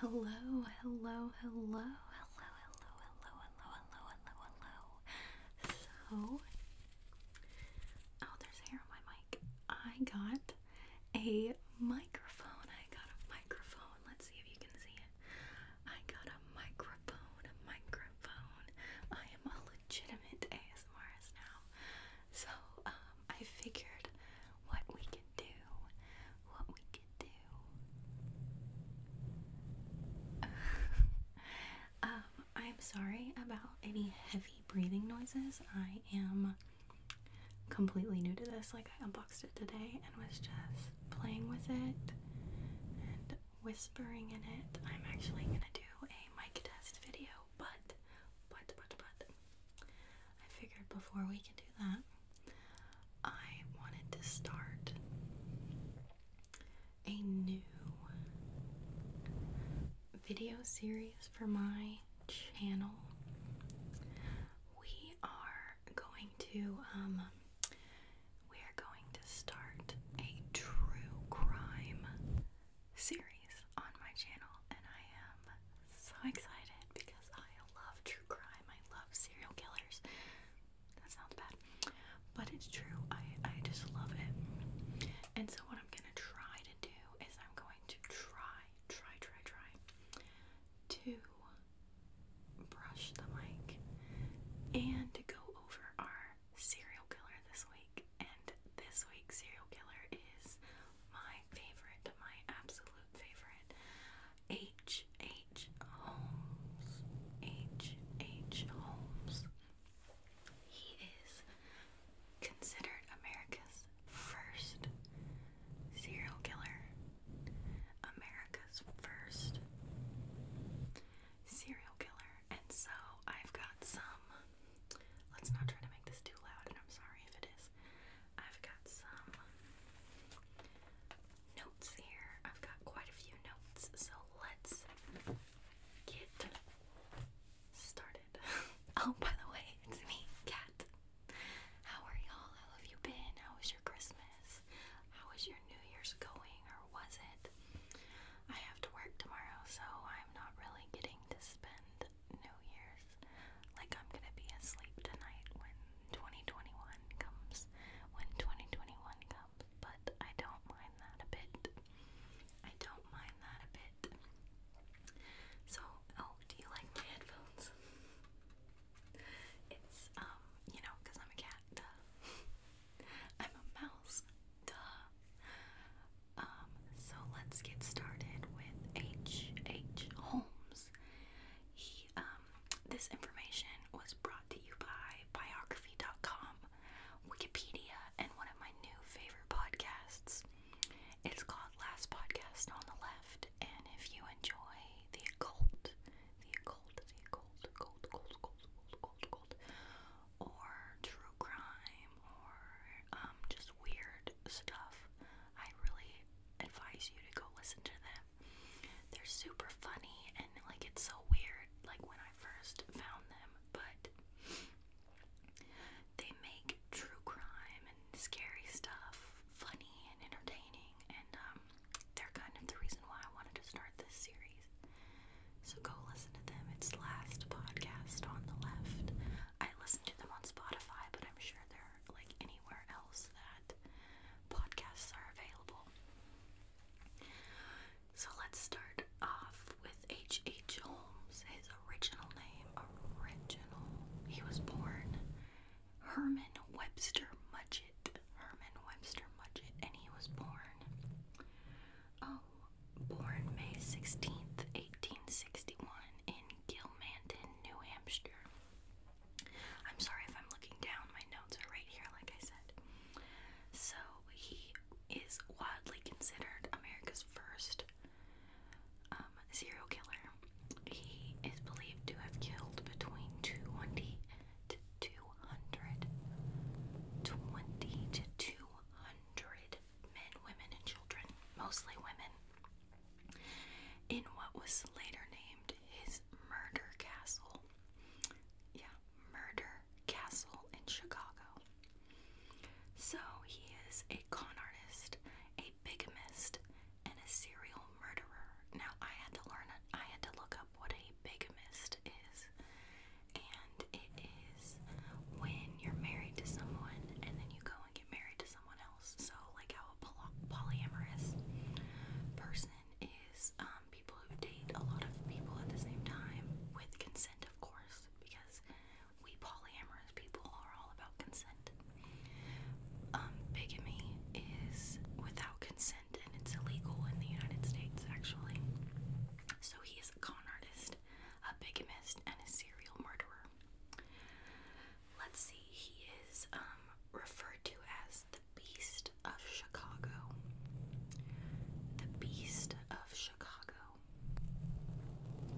Hello, hello, hello, hello, hello, hello, hello, hello, hello, hello. So, oh, there's hair on my mic. I got a microphone. I got a microphone. Let's see if you can see it. I got a microphone, a microphone. I am a legitimate ASMRist now. So, um, I figured what we can do, what we could do. um, I'm sorry about any heavy breathing noises. I am completely new to this. Like, I unboxed it today and was just playing with it and whispering in it. I'm actually gonna do a mic test video, but, but, but, but. I figured before we can do that, I wanted to start a new video series for my channel. We are going to, um, we are going to start a true crime series on my channel, and I am so excited because I love true crime. I love serial killers. That sounds bad, but it's true. I I just love it. And so what I'm gonna try to do is I'm going to try, try, try, try to brush the mic and go over our serial killer this week. And this week serial killer is my favorite, my absolute favorite, H. H. Holmes. H. H. Holmes. He is considered America's first serial killer. America's first serial killer. And so I've got some. Let's not try to make this too loud, and I'm sorry if it is. I've got some notes here. I've got quite a few notes, so let's get started. oh, by the way, it's me, Kat. How are y'all? How have you been? How was your Christmas? How was your New Year's going, or was it? I have to work tomorrow, so I'm not really getting to spend New Year's. Like, I'm gonna be asleep tonight when 2021 comes. When 2021 comes. But I don't mind that a bit. I don't mind that a bit. So, oh, do you like my headphones? It's, um, you know, because I'm a cat, duh. I'm a mouse, duh. Um, so let's get started with H. H. Holmes. He, um, this information was brought to you by biography.com, Wikipedia, and one of my new favorite podcasts. It's called Last Podcast on the Left, and if you enjoy the occult, the occult, the occult, occult, occult, occult, occult, or true crime, or um, just weird stuff, I really advise you to go listen to them. They're super funny and like it's so weird like when I first found them, but they make true crime and scary stuff funny and entertaining and um, they're kind of the reason why I wanted to start this series. So go listen to them. It's last podcast on the left. I listen to them on Spotify, but I'm sure they're like anywhere else that podcasts are available. So let's start off with H. H. Holmes. His original name, original. He was born Herman Webster Mudgett. Herman Webster Mudgett, and he was born. Oh, born May sixteenth, eighteen sixty-one, in Gilmanton, New Hampshire. I'm sorry if I'm looking down, my notes are right here, like I said. So, he is widely considered America's first um, serial killer. He is believed to have killed between 220 to 200, to 200 men, women, and children, mostly women in what was later named his murder castle. Yeah, murder castle in Chicago. So he is a con artist, a bigamist, and a serial murderer. Now I had to learn I had to look up what a bigamist is. And it is when you're married to someone and then you go and get married to someone else. So, like how a poly polyamorous person is um, people who date a lot of people at the same time with consent, of course, because we polyamorous people are all about consent. Um, bigamy is without consent and it's illegal in the United States, actually. So, he is a con artist, a bigamist, and a serial murderer let's see, he is um, referred to as the Beast of Chicago. The Beast of Chicago.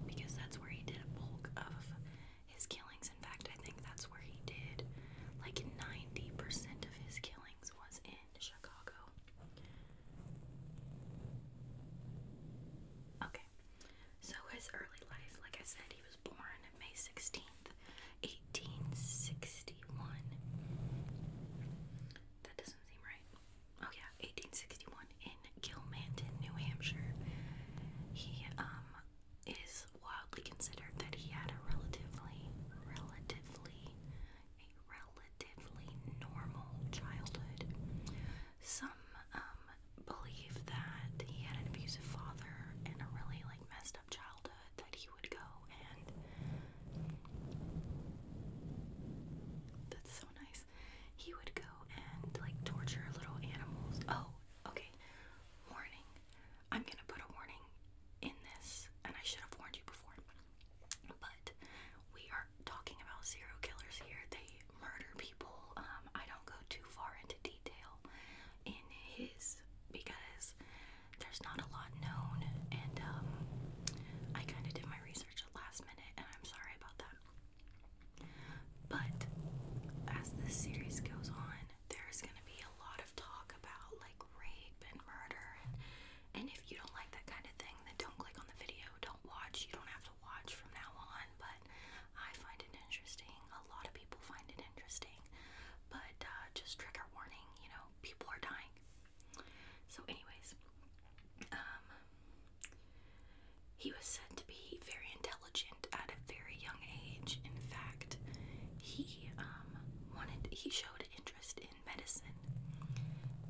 Because that's where he did a bulk of his killings. In fact, I think that's where he did like 90% of his killings was in Chicago. Okay. So his early life, like I said, he was born May 16th, 1861. That doesn't seem right. Oh yeah, 1861 in Gilmanton, New Hampshire. He um it is wildly considered that he had a relatively relatively a relatively normal childhood. Some um believe that he had an abusive father and a really like messed up childhood that he would go and that's so nice. He would go and like torture little animals. Oh, okay. Warning. I'm gonna put a warning in this, and I should have warned you before. But we are talking about serial killers here. They murder people. Um, I don't go too far into detail in his because there's not a lot known, and um, I kind of did my research at last minute, and I'm sorry about that. But as the series goes on, there's gonna be a lot of talk about like rape and murder, and if you don't like that kind of thing, then don't click on the video. Don't watch. You don't have to watch from now on. But I find it interesting a lot of people find it interesting, but uh, just trigger warning, you know, people are dying. So, anyways, um, he was said to be very intelligent at a very young age. In fact, he um, wanted he showed interest in medicine,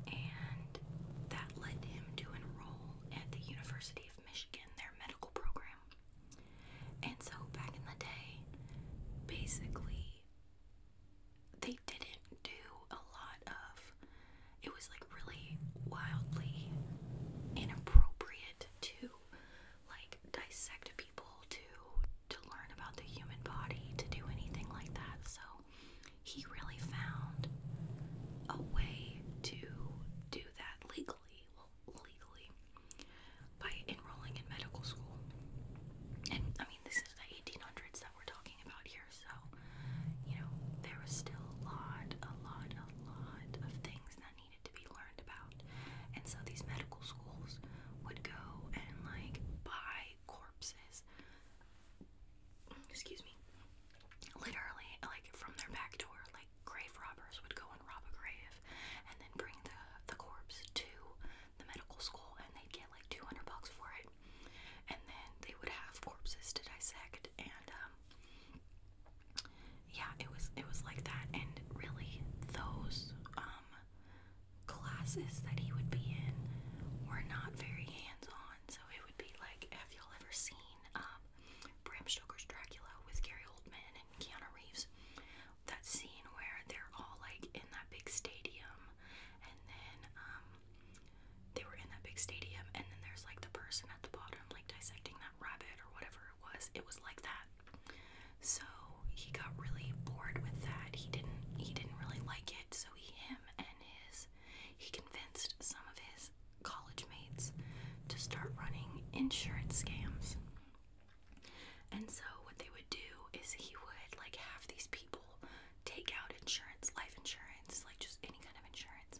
and that led him to enroll at the University of Michigan, their medical program. And so back in the day, basically, they didn't do a lot of it was like really wildly inappropriate to like dissect people to to learn about the human body to do anything like that so he really found a way to do that legally legally, by enrolling in medical school. And I mean, this is the 1800s that we're talking about here, so you know, there was still a lot, a lot, a lot of things that needed to be learned about. And so these medical schools would go and like buy corpses, excuse me, literally, like from their back door, like like grave robbers would go and rob a grave and then bring the the corpse to the medical school and they'd get like 200 bucks for it and then they would have corpses to dissect and um yeah it was it was like that and really those um classes that he would be in were not very hands-on so it would be like have y'all ever seen um Bram Stoker's Dracula with Gary Oldman and Keanu Reeves. That scene where they're all like in that big stadium, and then um, they were in that big stadium, and then there's like the person at the bottom, like dissecting that rabbit or whatever it was. It was like that. So he got really bored with that. He didn't. He didn't really like it. So he, him, and his. He convinced some of his college mates to start running insurance scams. And so what they would do is he would like have these people take out insurance, life insurance, like just any kind of insurance,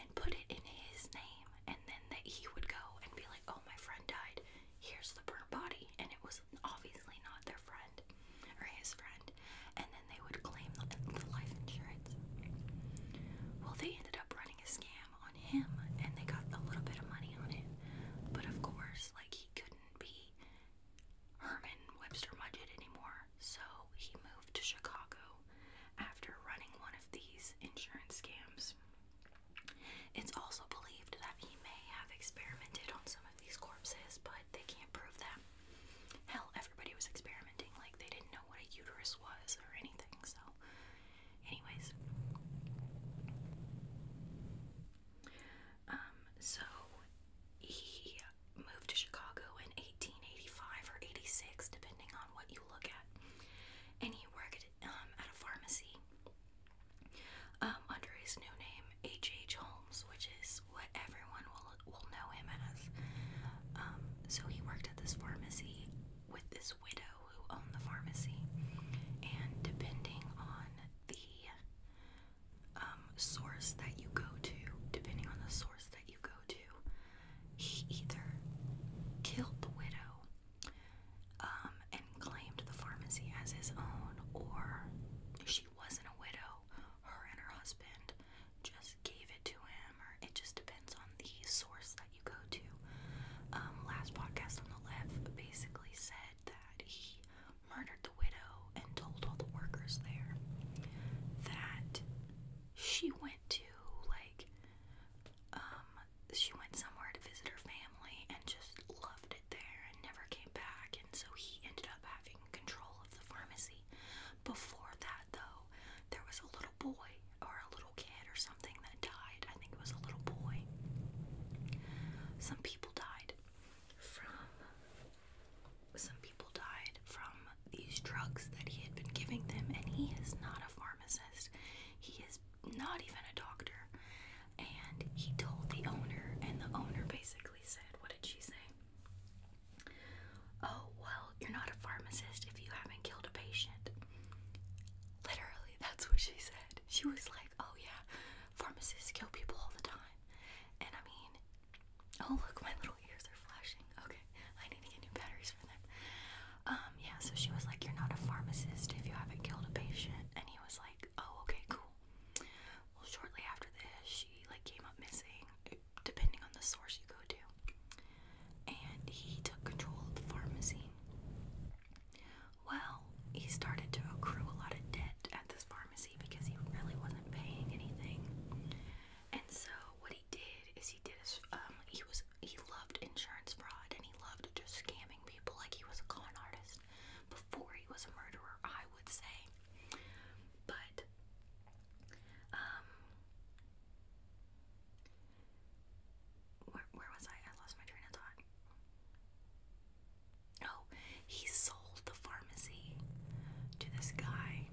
and put it in his name. And then that he would go and be like, "Oh, my friend died. Here's the burnt body," and it was obviously not their friend or his friend. And then they would claim the life insurance. Well, they ended up running a scam on him and they got a little bit of money on it. But of course, like he couldn't be Herman Webster Mudgett anymore. So he moved to Chicago after running one of these insurance scams. It's also believed that he may have experimented on some of these corpses, but they can't prove that. Hell, everybody was experimenting, like they didn't know what a uterus was or anything, so Anyways, um, so he moved to Chicago in 1885 or 86, depending on what you look at, and he worked um, at a pharmacy um, under his new name, H. H. Holmes, which is what everyone will will know him as. Um, so he worked at this pharmacy with this widow who owned the pharmacy, and depending on the um, source that you go to, depending on the source that you go to, he either killed the widow um, and claimed the pharmacy as his own, or she wasn't a widow. Her and her husband just gave it to him it just depends on the source that you go to. Um, last podcast on the left basically said that he murdered the widow and told all the workers there that she went to like um, she went somewhere to visit her family and just loved it there and never came back and so he ended up having control of the pharmacy. Before that though, there was a little boy or a little kid or something that died. I think it was a little boy. Some people died from some people died from these drugs that he had been giving them and he is not a pharmacist. He is not even a doctor. And he told the owner and the owner basically said, what did she say? Oh, well, you're not a pharmacist if you haven't killed a patient. Literally, that's what she said. She was like, oh yeah, pharmacists kill people all the time. And I mean, oh look, my little ears are flashing. Okay, I need to get new batteries for them. Um, yeah, so she was like, you're not a pharmacist if you haven't killed a patient. And he was like, oh, okay, cool. Well, shortly after this, she like came up missing, depending on the source you go to and he took control of the pharmacy. Well, he started to accrue a lot of debt at this pharmacy because he really wasn't paying anything. And so what he did is he did a, um he was he loved insurance fraud and he loved just scamming people like he was a con artist before he was a murderer, I would say. But um where, where was I? I lost my train of thought. Oh, he sold the pharmacy to this guy.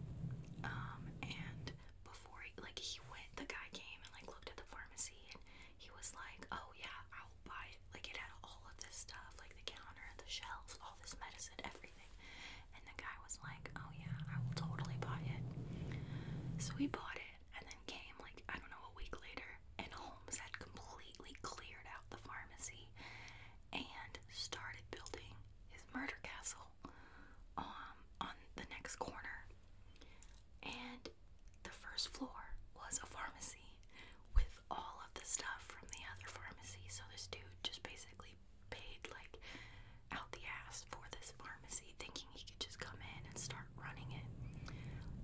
Um, and before he, like he went, the guy came and like looked at the pharmacy and he was like, "Oh yeah, I'll buy it." Like it had all of this stuff, like the counter, the shelves, all this medicine, everything. And the guy was like, "Oh yeah, I will totally buy it." So he bought it, and then Allison came, like, I don't know, a week later, and Holmes had completely cleared out the pharmacy and started building his murder castle um, on the next corner. And the first floor was a pharmacy with all of the stuff from the other pharmacy. So this dude just basically paid like out the ass for this pharmacy, thinking he could just come in and start running it.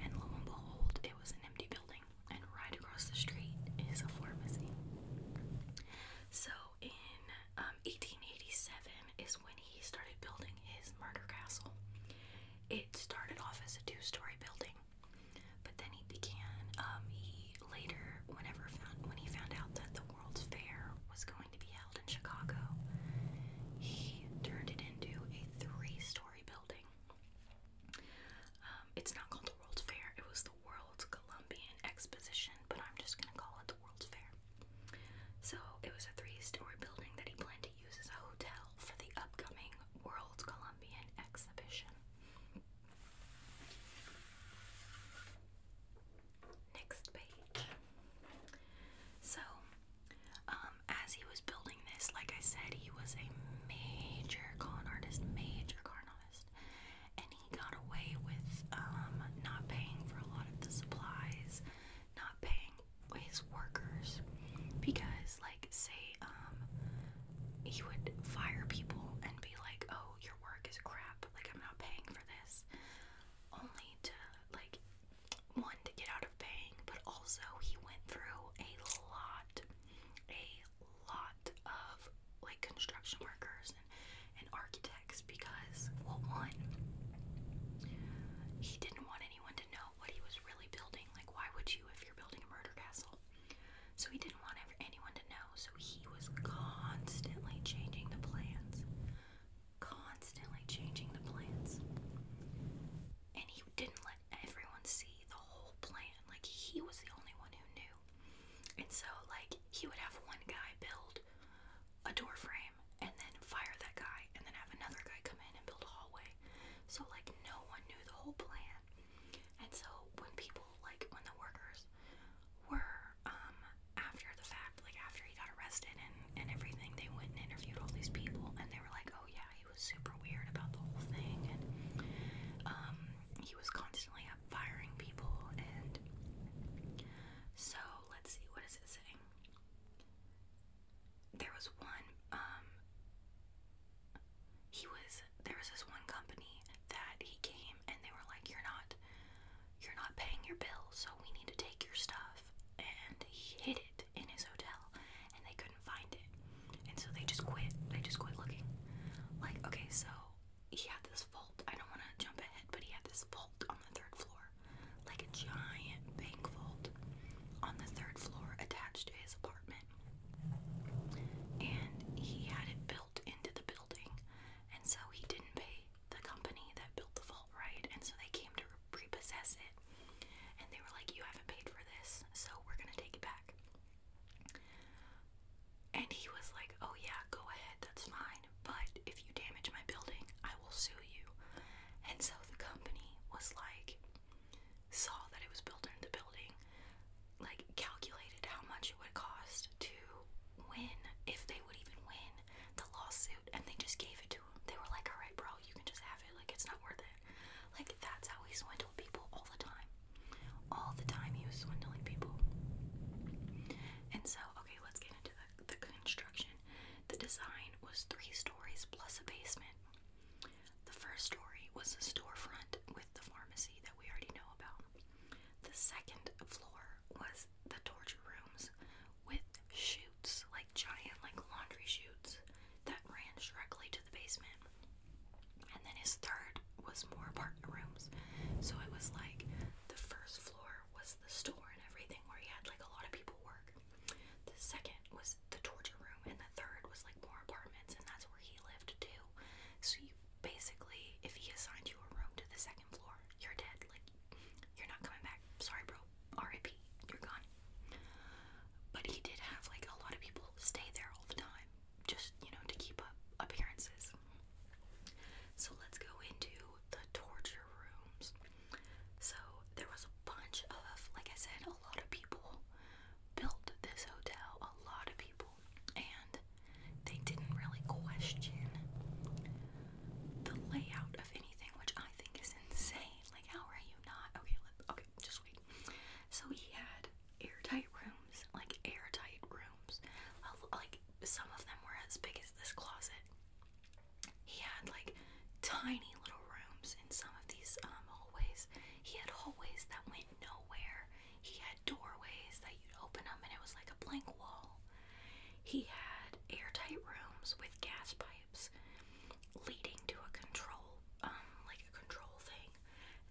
And lo and behold, it was an empty building, and right across the street is a pharmacy. So in um, 1887 is when he started building his murder castle. It started off as a two-story building, but then he began. Um, he later, whenever found when he found out that the World's Fair was going to be held in Chicago. He turned it into a three story building. Um, it's not called the World's Fair, it was the World's Columbian Exposition, but I'm just going to call it the World's Fair. So it was a three story building that he planned to use as a hotel for the upcoming World Columbian Exhibition. Next page. So, um, as he was building this, like I said, he was a major con artist, major con artist, and he got away with um, not paying for a lot of the supplies, not paying his workers, because, like, say, um, he would fire people and be like, "Oh, your work is crap. Like, I'm not paying for this," only to like one to get out of paying, but also he went through a lot, a lot of like construction workers and, and architects because, well, one, he didn't want anyone to know what he was really building. Like, why would you if you're building a murder castle? So he didn't want ever anyone to know, so he was constantly changing the plans, constantly changing the plants. And he didn't let everyone see the whole plan. Like, he was the only one who knew. And so, like, he would have one guy build a door frame and then fire that guy and then have another guy come in and build a hallway. So, like, no one knew the whole plan. And so, when people, like, when the workers were um, after the fact, like after he got arrested and, and everything, they went and interviewed all these people and they were like, oh yeah, he was super weird about the whole thing. And um, he was constantly up firing people. And so let's see, what is it saying? There was one, um, he was, there was this one company that he came and they were like, you're not you're not paying your bill, so we need to take your stuff. And hid it in his hotel, and they couldn't find it. And so they just quit. They just quit looking. Like, okay, so he had this vault. I don't want to jump ahead, but he had this vault on the third floor. Like a giant bank vault on the third floor attached to his apartment. And he had it built into the building. And so he didn't pay the company that built the vault, right? And so they came to repossess it. And they were like, You haven't paid for this, so we're gonna take it back. And he was like, Oh, yeah, go ahead, that's fine. But if you damage my building, I will sue you. And so the company was like, saw that it was built into the building, like, calculated how much it would cost to win, if they would even win the lawsuit, and they just gave it they were like, alright, bro, you can just have it. Like, it's not worth it. Like, that's how he swindled people all the time. All the time he was swindling people. And so, okay, let's get into the, construction. The design was three stories plus a basement. The first story was the storefront with the pharmacy that we already know about. The second floor was the torture rooms, with chutes, like giant like laundry chutes that ran directly to the basement. And then his third was more apartment rooms. So it was like the first floor was the store and everything where he had like a lot of people work. The second was the torture room and the third was like more apartments and that's where he lived too. So you basically if he assigned you a room to the second you're dead. Like, you're not coming back. Sorry, bro. RIP. You're gone. But he did have, like, a lot of people stay there all the time, just, you know, to keep up appearances. So let's go into the torture rooms. So there was a bunch of, like I said, a lot of people built this hotel, a lot of people, and they didn't really question the layout of anything, which I think is insane. Like, how are you not? Okay, okay, just wait. So he had airtight rooms, like airtight rooms. Like some of them were as big as this closet. He had like tiny little rooms in some of these um, hallways. He had hallways that went nowhere. He had doorways that you'd open them and it was like a blank wall. He had airtight rooms with gas pipes lives leading to a control um like a control thing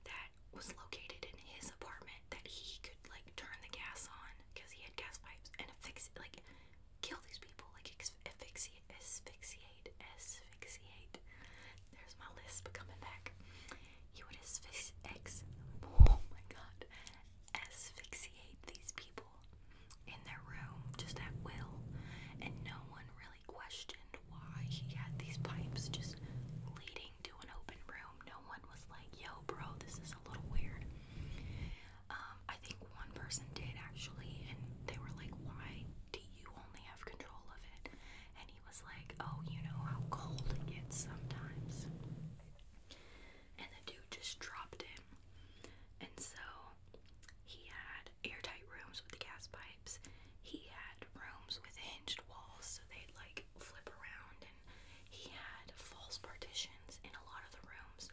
that was located in his apartment that he could like turn the gas on because he had gas pipes and affix like kill these people like asphyxiate asphyxiate asphyxiate there's my lisp coming back he would asphyxiate oh my god asphyxiate these people people in their room just at will, and no one really questioned why he had these pipes just leading to an open room. No one was like, yo, bro, this is a little weird. Um, I think one person did actually, and they were like, why do you only have control of it? And he was like, oh, you know how cold it gets sometimes and the dude just dropped him. And so he had airtight rooms with the gas pipes. He had rooms with hinged walls so they'd like flip around and he had false partitions in a lot of the rooms.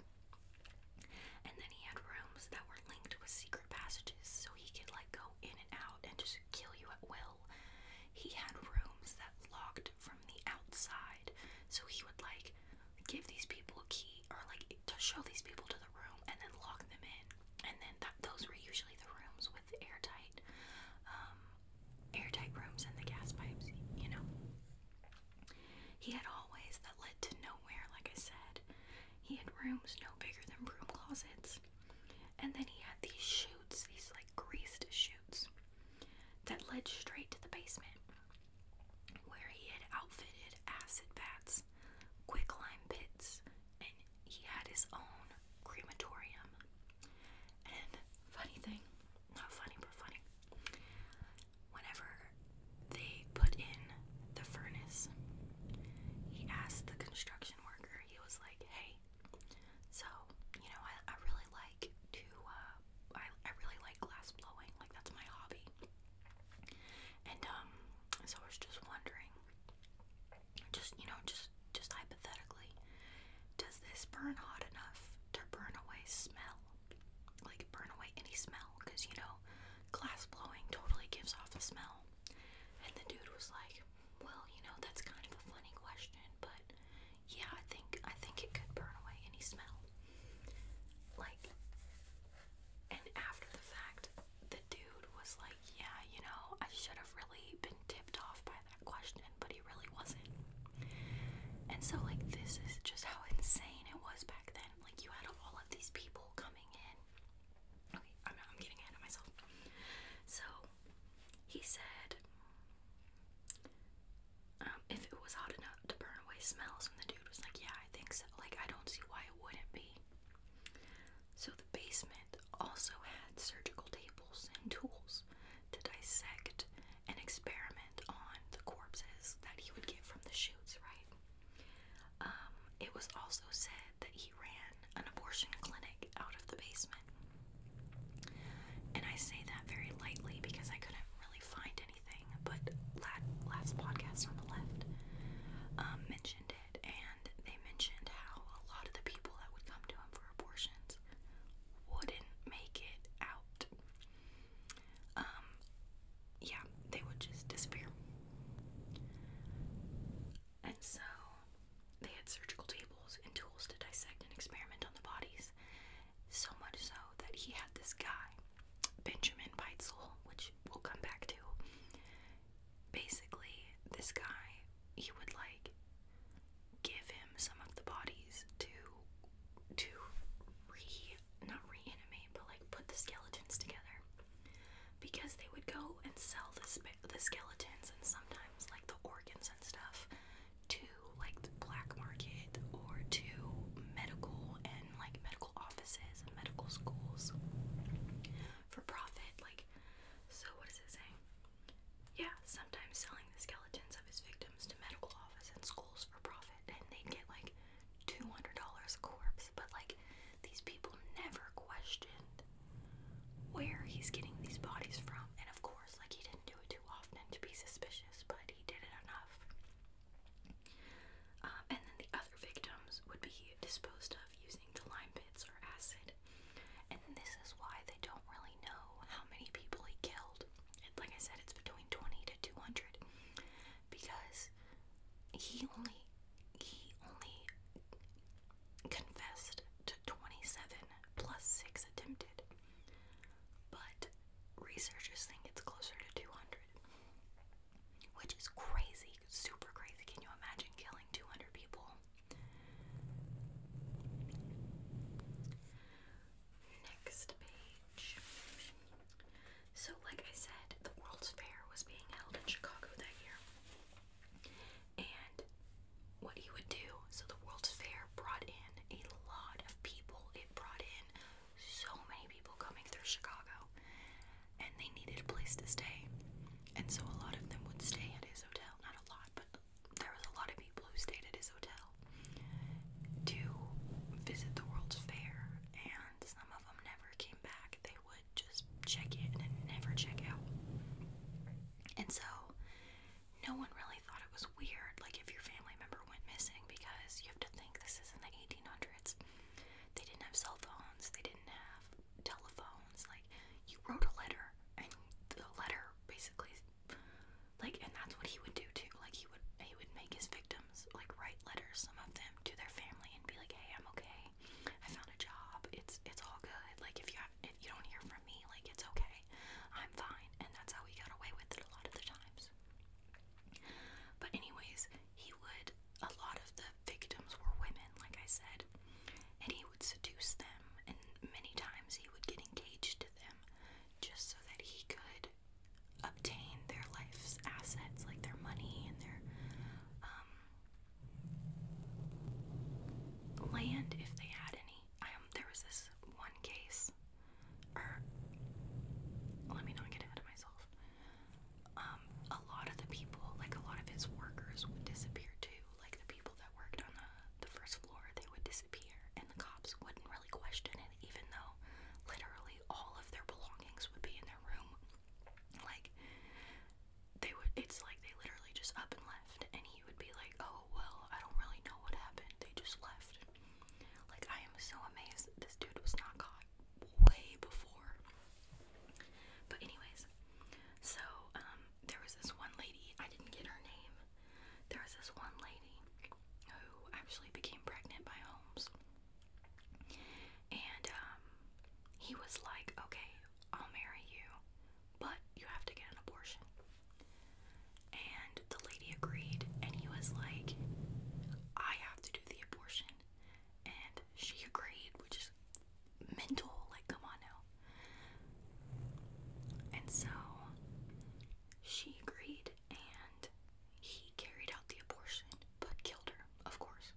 And then he had rooms that were linked with secret passages so he could like go in and out and just kill you at will. He had rooms that locked from the outside so he would like give these people a key or like to show these people to the room and then lock them in. And then that those were usually the rooms with airtight, um, airtight rooms and the gas pipes, you know. He had hallways that led to nowhere, like I said. He had rooms no bigger than broom closets. And then he had these shoots, these like greased shoots that led straight to the basement where he had outfitted acid baths, quicklime pits, and he had his own crematorium. And funny thing, not funny, but funny, whenever they put in the furnace, he asked the construction worker, he was like, hey, so, you know, I, really like to, uh, I, I really like glass blowing, like that's my hobby. And um, so I was just wondering, just you know, just just hypothetically, does this burn hot enough to burn away smell? Like burn away any smell? Cause you know, glass blowing totally gives off a smell. And the dude was like, well, you know, that's kind of a funny question, but yeah, I think I think it could burn away any smell. Like, and after the fact, the dude was like, Yeah, you know, I should have really been tipped off by that question, but he really wasn't. And so, like, this is just how insane it was back then. Like, you had all of these people coming in. Okay, I'm, getting ahead of myself. So, he said, um, if it was hot enough to burn away smells. And the dude was like, Yeah, I think so. Like, I don't see why it wouldn't be. So the basement also had surgical tables and tools to dissect and experiment on the corpses that he would get from the shoots, right? Um, it was also said that he ran an abortion clinic out of the basement. And I say that very lightly because I couldn't really find anything, but last podcast on the left um, mentioned it, and they mentioned how a lot of the people that would come to him for abortions wouldn't make it out. Um, yeah, they would just disappear. And so they had surgical tables and tools to dissect and experiment on the bodies. So much so that he had this guy, Benjamin Peitzel, which we'll come back to. Basically, this guy, he would like give him some of the bodies to to re not reanimate, but like put the skeletons together. Because they would go and sell the the skeletons and sometimes like the organs and stuff to like the black market or to medical and in like medical offices and medical schools for profit. Like, so what is it saying? Yeah, sometimes selling the skeletons of his victims to medical offices and schools for profit, and they'd get like $200 a corpse. But like, these people never questioned where he's getting these bodies from, and of course, like, he didn't do it too often to be suspicious, but he did it enough. Um, and then the other victims would be disposed of using the lime pits or acid. And this is why they don't really know how many people he killed. And like I said, it's between 20 to 200 because he only he only confessed to 27 plus 6 attempted. But researchers think it's closer to 200, which is crazy, super crazy. Can you imagine killing 200 people? Next page. So, like I said, the World's Fair was being held in Chicago that year. And what he would do, so the World's Fair brought in a lot of people. It brought in so many people coming through Chicago and they needed a place to stay. And so a lot of them would stay at his hotel. Not a lot, but there was a lot of people who stayed at his hotel to visit the World's Fair, and some of them never came back. They would just check in and never check out. And so, no one really thought it was was weird, like if your family member went missing, because you have to think this is in the 1800s. They didn't have cell phones, they didn't have telephones. Like, you wrote a letter, and the letter basically, like, and that's what he would do too. Like, he would he would make his victims like write letters, some of them, to their family, and be like, "Hey, I'm okay. I found a job. It's it's all good. Like, if you have, if you don't hear from me, like, it's okay. I'm fine." And that's how he got away with it a lot of the times. But, anyways, he would, a lot of the victims were women, like I said, and he would seduce them, and many times he would get engaged to them just so that he could obtain their life's assets, like their money and their um, land if they had any. Um, there was this one case or let me not get ahead of myself. Um, a lot of the people, like a lot of his workers, would disappear too. Like the people that worked on the, the first floor, they would disappear, and the cops wouldn't really question it, even though literally all of their belongings would be in their room. Like they would, it's like they literally just up and left, and he would be like, "Oh well, I don't really know what happened. They just left." Like, I am so amazed this dude was not caught way before. But, anyways, so um, there was this one lady, I didn't get her name. There was this one lady who actually became pregnant by Holmes. And um, he was like, okay, I'll marry you, but you have to get an abortion. And the lady agreed, and he was like, I have to do the abortion. And she agreed, which is mental, like, come on now. And so she agreed, and he carried out the abortion, but killed her, of course.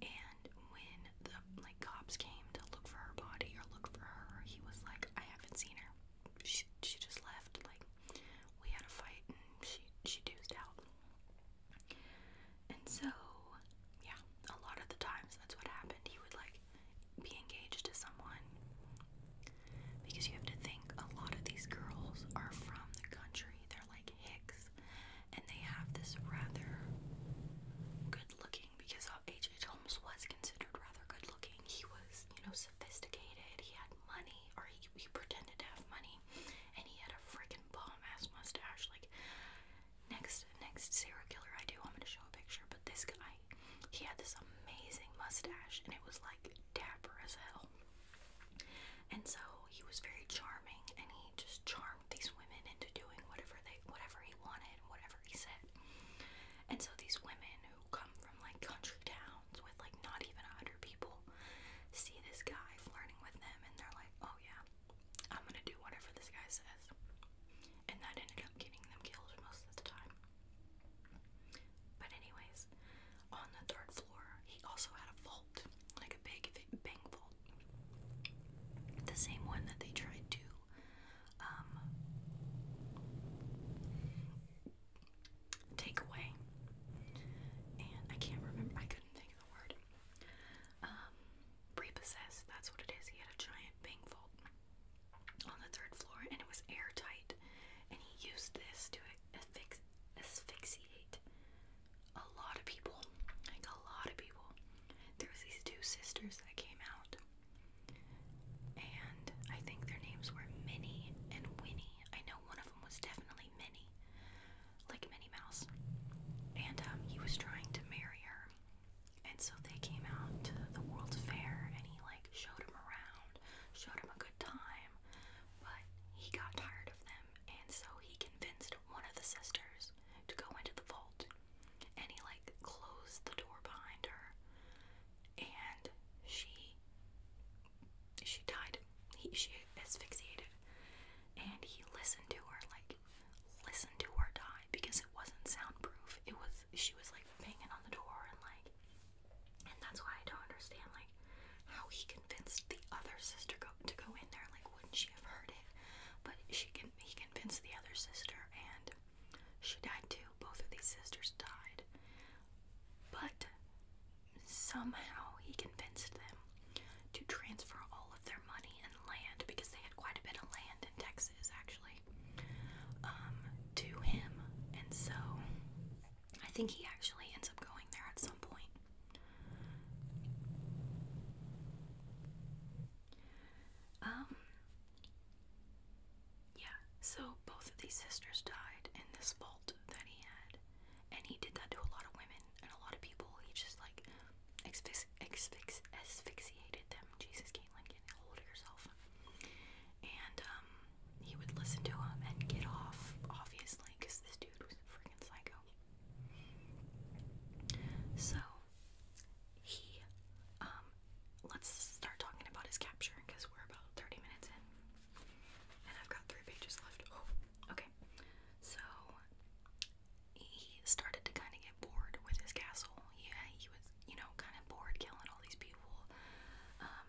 And when the like cops came to look for her body or look for her, he was like, I haven't seen her. She, she just left. Like, we had a fight and she she dozed out. And so, yeah, a lot of the times that's what happened. He would like be engaged to someone because you have to think a lot of these girls are from the country. They're like hicks, and they have this rather good-looking because H. H. Holmes was considered rather good-looking. He was, you know, sophisticated. He had money, or he he pretended to have money, and he had a freaking bomb ass mustache. Like next next serial killer I do, I'm gonna show a picture. But this guy, he had this amazing mustache, and it was like dapper as hell. And so he was very charming, and he just charmed these women into doing whatever they whatever he wanted, whatever he said. And so these women come from like country towns with like not even a hundred people see this guy flirting with them and they're like, oh yeah, I'm gonna do whatever this guy says. And that ended up getting them killed most of the time. But anyways, on the third floor, he also had a vault, like a big bank vault. The same one that they tried to um, takeaway, and I can't remember. I couldn't think of the word. Um, repossessed. That's what it is. He had a giant bank vault on the third floor, and it was airtight. And he used this to asphyx asphyxiate a lot of people. Like a lot of people. There was these two sisters that came out. And I think their names were Minnie and Winnie. I know one of problem was definitely Minnie, like Minnie Mouse. And um, he was trying to marry her. And so they came out to the World's Fair and he like showed him around, showed him a good time, but he got tired of them and so he convinced one of the sisters to go into the vault and he like closed the door behind her and she she died. He, she asphyxiated. And he listened to her, like, listened to her die because it wasn't soundproof. It was, she was like banging on the door and like, and that's why I don't understand, like, how he convinced the other sister go, to go in there. Like, wouldn't she have heard it? But she can, he convinced the other sister and she died too. Both of these sisters died. But Somehow he convinced them to transfer all of their money and land because they had quite a bit of land in Texas actually um, to him and so I think he actually ends up going there at some point. Um yeah, so both of these sisters died in this fall that he had. And he did that to a lot of women and a lot of people. He just like asphyx asphyx asphyxiated them. Jesus, Caitlin, get a hold of yourself. And um, he would listen to him and get off, obviously, because this dude was a freaking psycho. So he, um, let's start talking about his capture because we're about 30 minutes in. And I've got three pages left. Oh, okay. So he started to kind of get bored with his castle. Yeah, he was, you know, kind of bored killing all these people. Um,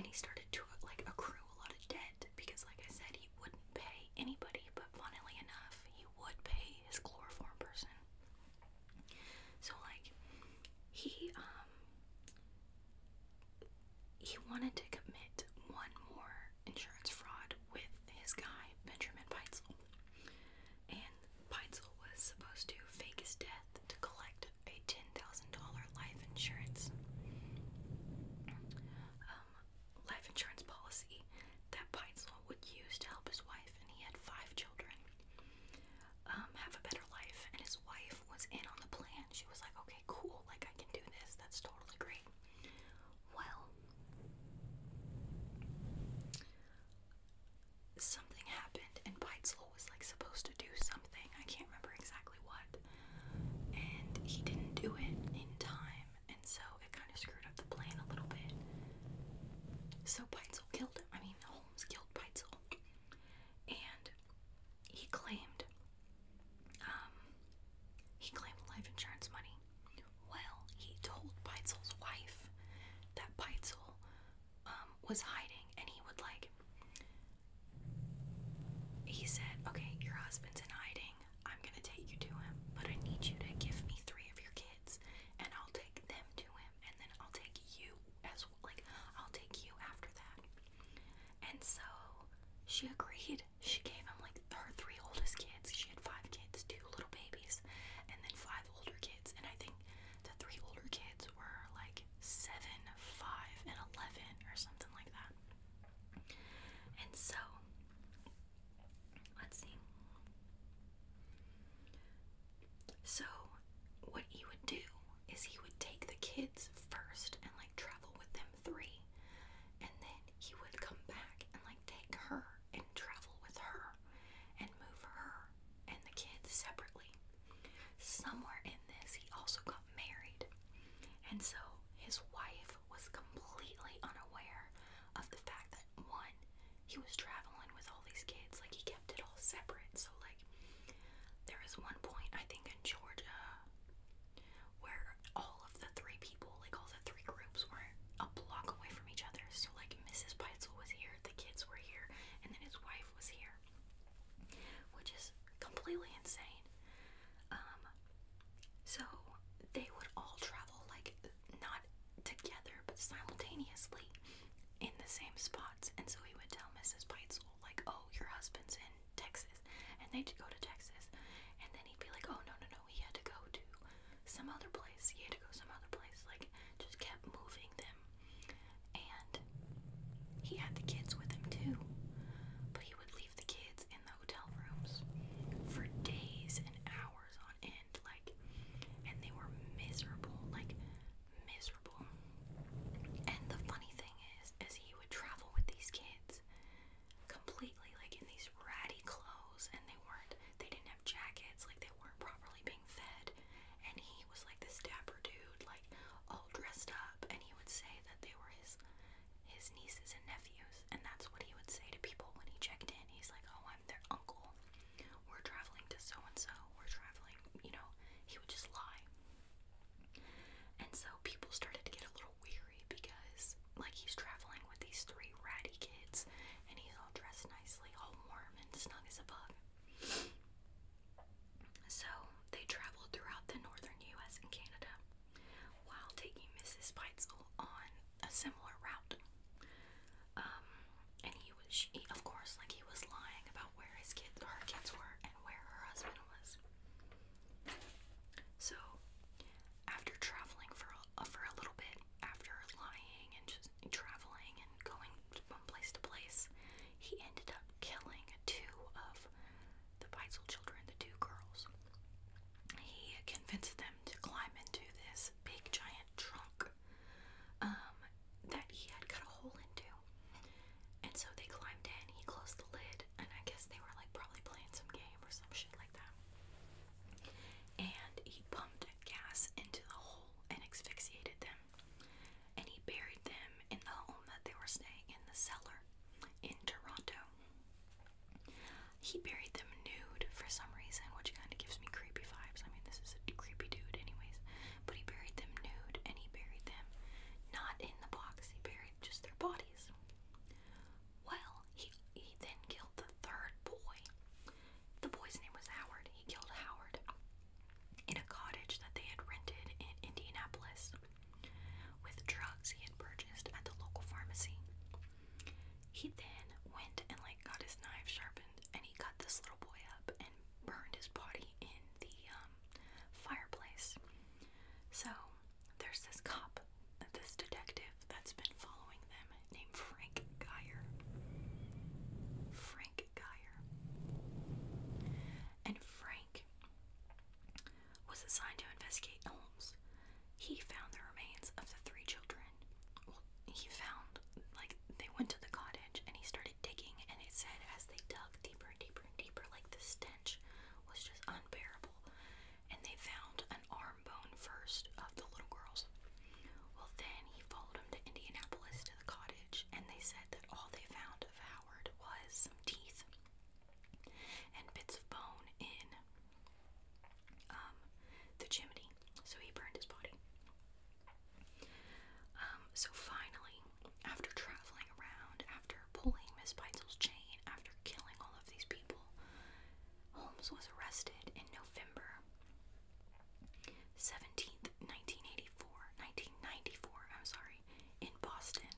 and he started to like accrue a lot of debt because, like I said, he wouldn't pay anybody. But funnily enough, he would pay his chloroform person. So like, he um he wanted to commit one more insurance fraud with his guy, Benjamin Peitzel. And Peitzel was supposed to fake his death to collect a $10,000 life insurance um, life insurance policy that Peitzel would use to help his wife, and he had five children um, have a better life. And his wife was in on the plan. She was like, okay, cool, like I can do this. That's totally great. Well, something happened, and Beitzel was like supposed to do something. I can't remember exactly what. And he didn't do it in time, and so it kind of screwed up the plan a little bit. So Beitzel killed I mean, Holmes killed Beitzel. And he claimed um, he claimed life insurance money. Well, he told Peitzel's wife that Peitzel um, was hiding, and he would like. He said, "Okay, your husband's in hiding. I'm gonna take you to him, but I need you to give me three of your kids, and I'll take them to him, and then I'll take you as like I'll take you after that. And so she agreed. She gave him like her three oldest kids. She had five kids, two little babies, and then five older kids. And I think the three older kids were like seven, five, and eleven or something like that. And so let's see. So, what you would do is he would take the kids first and like travel with them three, and then he would come back and like take her and travel with her and move her and the kids separately. Somewhere in this, he also got married, and so his wife was completely unaware of the fact that one, he was traveling with all these kids, like he kept it all separate, so like like there is one point I think in Georgia where all of the three people, like all the three groups, were a block away from each other. So like Mrs. Peitzel was here, the kids were here, and then his wife was here, which is completely insane. Um, so they would all travel like not together, but simultaneously in the same spots. And so he would tell Mrs. Peitzel, like, "Oh, your husband's in Texas, and they'd go to Texas, and then he'd be like, "Oh no, no, no, he had to go to some other place. He had to go some other place." Like, just kept moving them, and he had the kids with him too, but he would leave the kids in the hotel rooms for days and hours on end, like, and they were miserable, like miserable. And the funny thing is, is he would travel with these kids completely like in these ratty clothes and they weren't they didn't have jackets, like they weren't properly being fed. And he was like this dapper dude, like all dressed up, and he would say that they were his his nieces and nephews, and that's what he would say to people when he checked in. He's like, Oh, I'm their uncle. We're traveling to so and so, we're traveling, you know, he would just lie. And so people started to get a little weary because, like, he's traveling with these three ratty kids and he's all dressed nicely, all warm and snug as a bug. So they traveled throughout the northern US and Canada while taking Mrs. Peitzel on a similar route. Um, and he was, of course, like, he was lying about where his kids, her kids were where her husband was. So, after traveling for uh, for a little bit, after lying and just traveling and going from place to place, he ended up killing two of the Weitzel children, the two girls. He convinced them to climb into this big giant trunk um, that he had cut a hole into and so they climbed in, he closed the lid, and I guess they were like probably playing some game or some shit like that. And he pumped gas into the hole and asphyxiated them. And he buried them in the home that they were staying in the cellar in Toronto. He buried them nude for some reason, which kind of gives me creepy vibes. I mean, this is a creepy dude, anyways. But he buried them nude and he buried them not in the box. He buried just their bodies. Well, he he then killed the third boy. The boy's name was Howard. He killed Howard in a cottage that they had rented in Indianapolis with drugs he had purchased at the local pharmacy. He then went and like got his knife sharpened and he cut this little boy up and burned his body in the um, um, fireplace. So there's this cop, this detective that's been following them named Frank Geyer. Frank Geyer. And Frank was assigned to investigate Holmes. He found the remains of the three children. he found, like, they went to the cottage and he started started digging, and it said as they dug deeper and deeper and deeper, like the stench was just unbearable. And they found an arm bone first of the little girls. Well, then he followed them to Indianapolis to the cottage, and they said that all they found of Howard was some teeth and bits of bone in um, the chimney. So he burned his body. Um, so finally, after traveling around, after pulling Miss Peitzel's chain, after killing all of these people, Holmes was arrested in November 17th, 1984, 1994, I'm sorry, in Boston.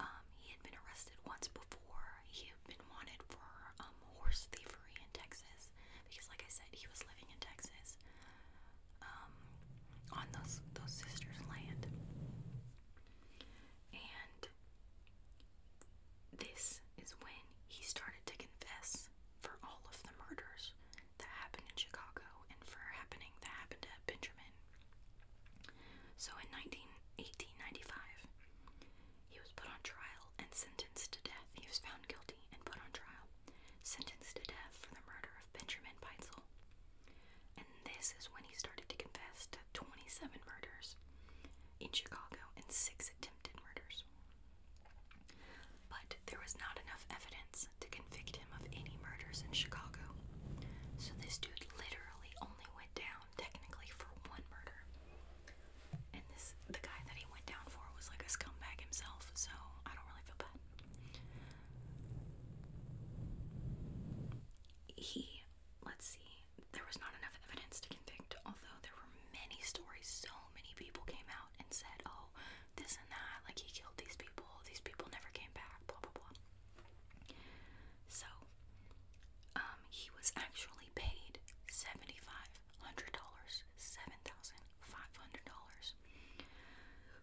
Um, he had been arrested once before. He had been wanted for um, horse thievery in Texas because, like I said, he was living in Texas. Um, on those those sisters' land, and this is when he started to confess for all of the murders that happened in Chicago and for happening that happened to Benjamin. So in 19, he was put on trial and sentenced to death. He was found guilty and put on trial, sentenced to death for the murder Benjamin Peitzel. And this is when he started to confess to 27 murders in Chicago and six attempted murders. But there was not enough evidence to convict him of any murders in Chicago. So this dude literally only went down technically for one murder. And this the guy that he went down for was like a scumbag himself, so I don't really feel bad. He, let's see, there was not enough evidence to convict, although there were many stories. So many people came out and said, oh, this and that, like he killed these people, these people never came back, blah, blah, blah. So, um, he was actually paid $7,500, $7,500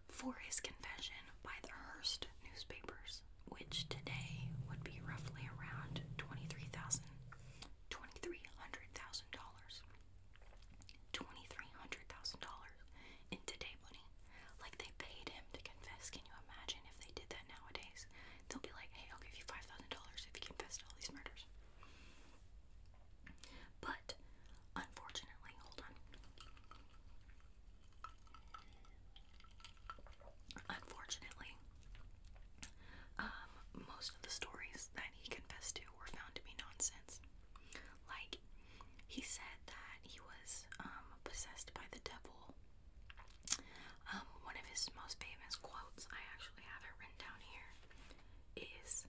for his confession by the Hearst newspapers, which today would be roughly around $23,000, $2,300,000. in today money. Like they paid him to confess. Can you imagine if they did that nowadays? They'll be like, hey, I'll give you $5,000 if you confess to all these murders. But, unfortunately, hold on. Unfortunately, um, most of the stories that he confessed to were found to be nonsense. Like, he said that he was um, possessed by the devil. Um, one of his most famous quotes, I actually have it written down here, is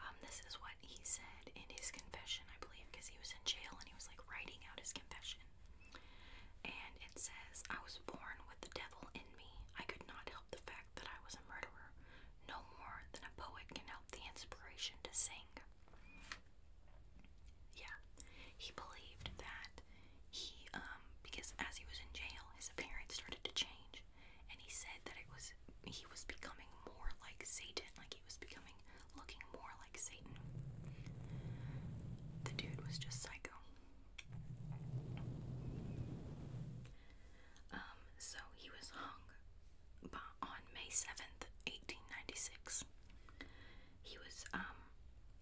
um, this is what he said in his confession, I believe, because he was in jail and he was like writing out his confession. And it says, I was born with the devil in me. I could not help the fact that I was a murderer, no more than a poet can help the inspiration to sing. Yeah, he believed that he, um, because as he was in jail, his appearance started to change. And he said that it was, he was becoming more like Satan, like he was becoming looking more like Satan. The dude was just psycho. Um, so he was hung by, on May 7th, 1896. He was, um,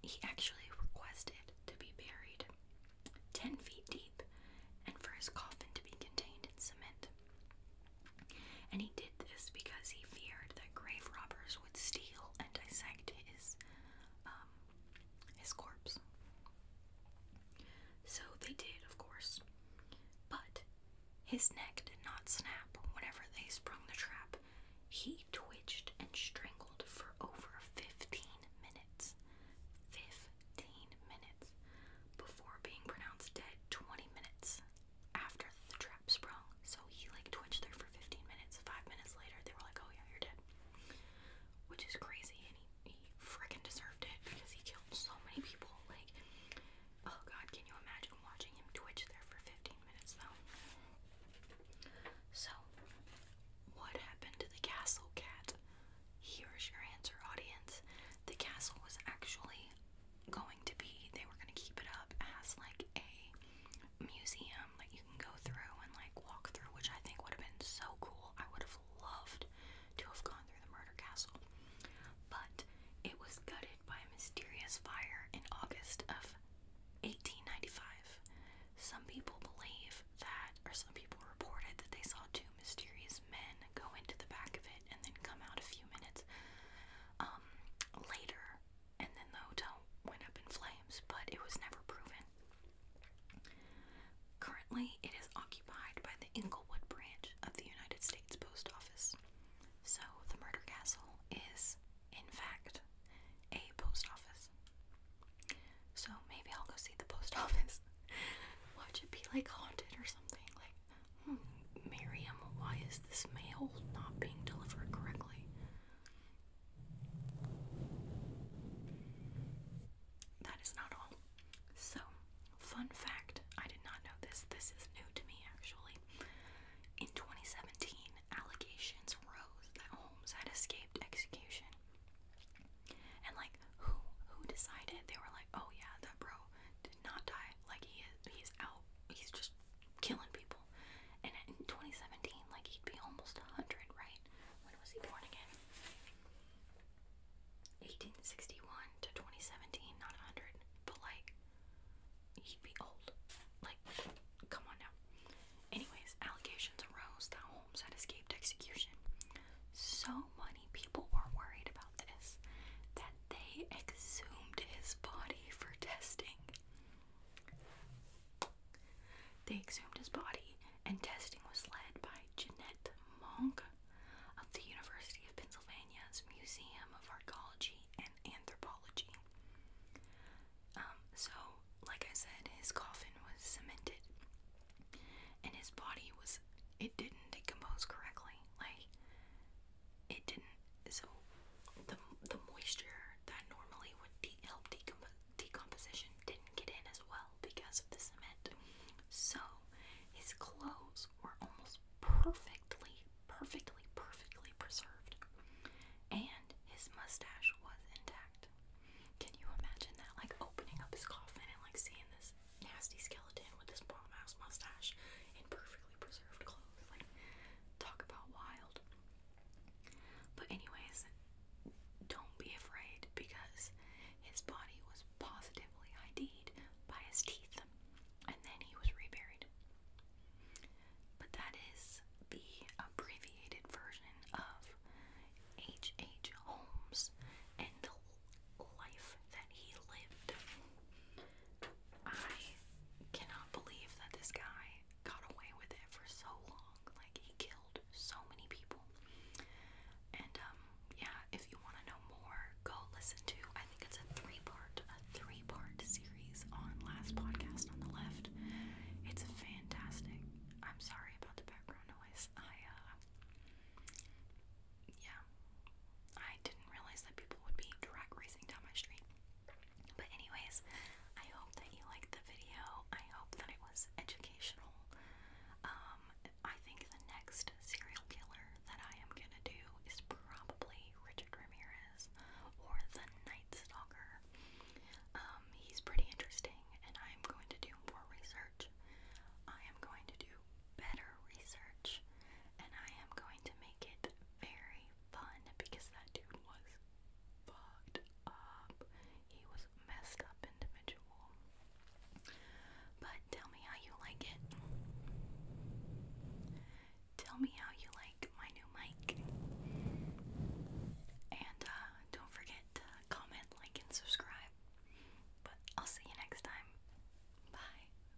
he actually requested to be buried 10 feet deep and for his coffin to be contained in cement. And he did this because he feared that grave robbers would steal and dissect his um, his corpse. So they did, of course. But his neck did not snap whenever they sprung the trap. He twitched and strangled for over 15 minutes. 15 minutes before being pronounced dead 20 minutes after the trap sprung. So he like twitched there for 15 minutes. Five minutes later, they were like, oh yeah, you're dead. Which is crazy, and he, he freaking deserved it because he killed so many people. Like, oh god, can you imagine watching him twitch there for 15 minutes though? So, what happened to the castle cat? Here's your answer, audience. The castle was actually going to be they were going to keep it up as like a museum that like you can go through and like walk through which i think would have been so cool i would have loved to have gone through the murder castle but it was gutted by a mysterious fire in august of 1895 some people believe that or some people reported that they saw two mysterious men go into the back of it and then come out a few minutes um, later, and then the hotel went up in flames, but it was never proven. Currently, it is occupied by the Inglewood branch of the United States Post Office. So, the murder castle is, in fact, a post office. So, maybe I'll go see the post office. Watch it be like haunted or something. Like, Miriam, why is this mail not being delivered correctly? That is not all. So, fun fact I did not know this. This is new to me actually. In 2017, allegations rose that Holmes had escaped execution. And like who who decided they were like, "Oh yeah, that bro did not die. Like he he's out he's just killing people. And in 2017, like he'd be almost 100, right? When was he born again? 1861 to 2017, not 100, but like he'd be old. Like, come on now. Anyways, allegations arose that Holmes had escaped execution. So many people were worried about that they exhumed his body for testing. They exhumed his body, and testing was led by Jeanette Monk of the University of Pennsylvania's Museum of Archaeology and Anthropology. Um, so, like I said, his coffin was cemented, and his body was, it didn't decompose correctly. Like, it didn't. So the the moisture that normally would help decomposition didn't get in as well because of the cement. So his clothes were almost perfectly, perfectly, perfectly preserved, and his mustache was intact. Can you imagine that? Like opening up his coffin and like seeing this nasty skeleton with this bomb mouse mustache in perfect preserved clothes. Like, talk about wild. But, anyways, don't be afraid because his body was positively id by his teeth, and then he was reburied. But that is the abbreviated version of H.H. H. Holmes and the life that he lived. I cannot believe that this guy got away with it for so long. Like he killed so many people. And um, yeah, if you want to know more, go listen to I think it's a three-part a three-part series on last podcast on the left. It's fantastic. I'm sorry about the background noise. I uh yeah, I didn't realize that people would be drag racing down my street. But anyways, I hope that you liked the video. I hope that it was educational. Um, I think the next serial killer that I am gonna do is probably Richard Ramirez or the Night Stalker. Um, he's pretty interesting, and I am going to do more research. I am going to do better research and I am going to make it very fun because that dude was fucked up. He was messed up individual. But tell me how you like it. Tell me how you like my new mic. And uh, don't forget to comment, like, and subscribe. But I'll see you next time. Bye.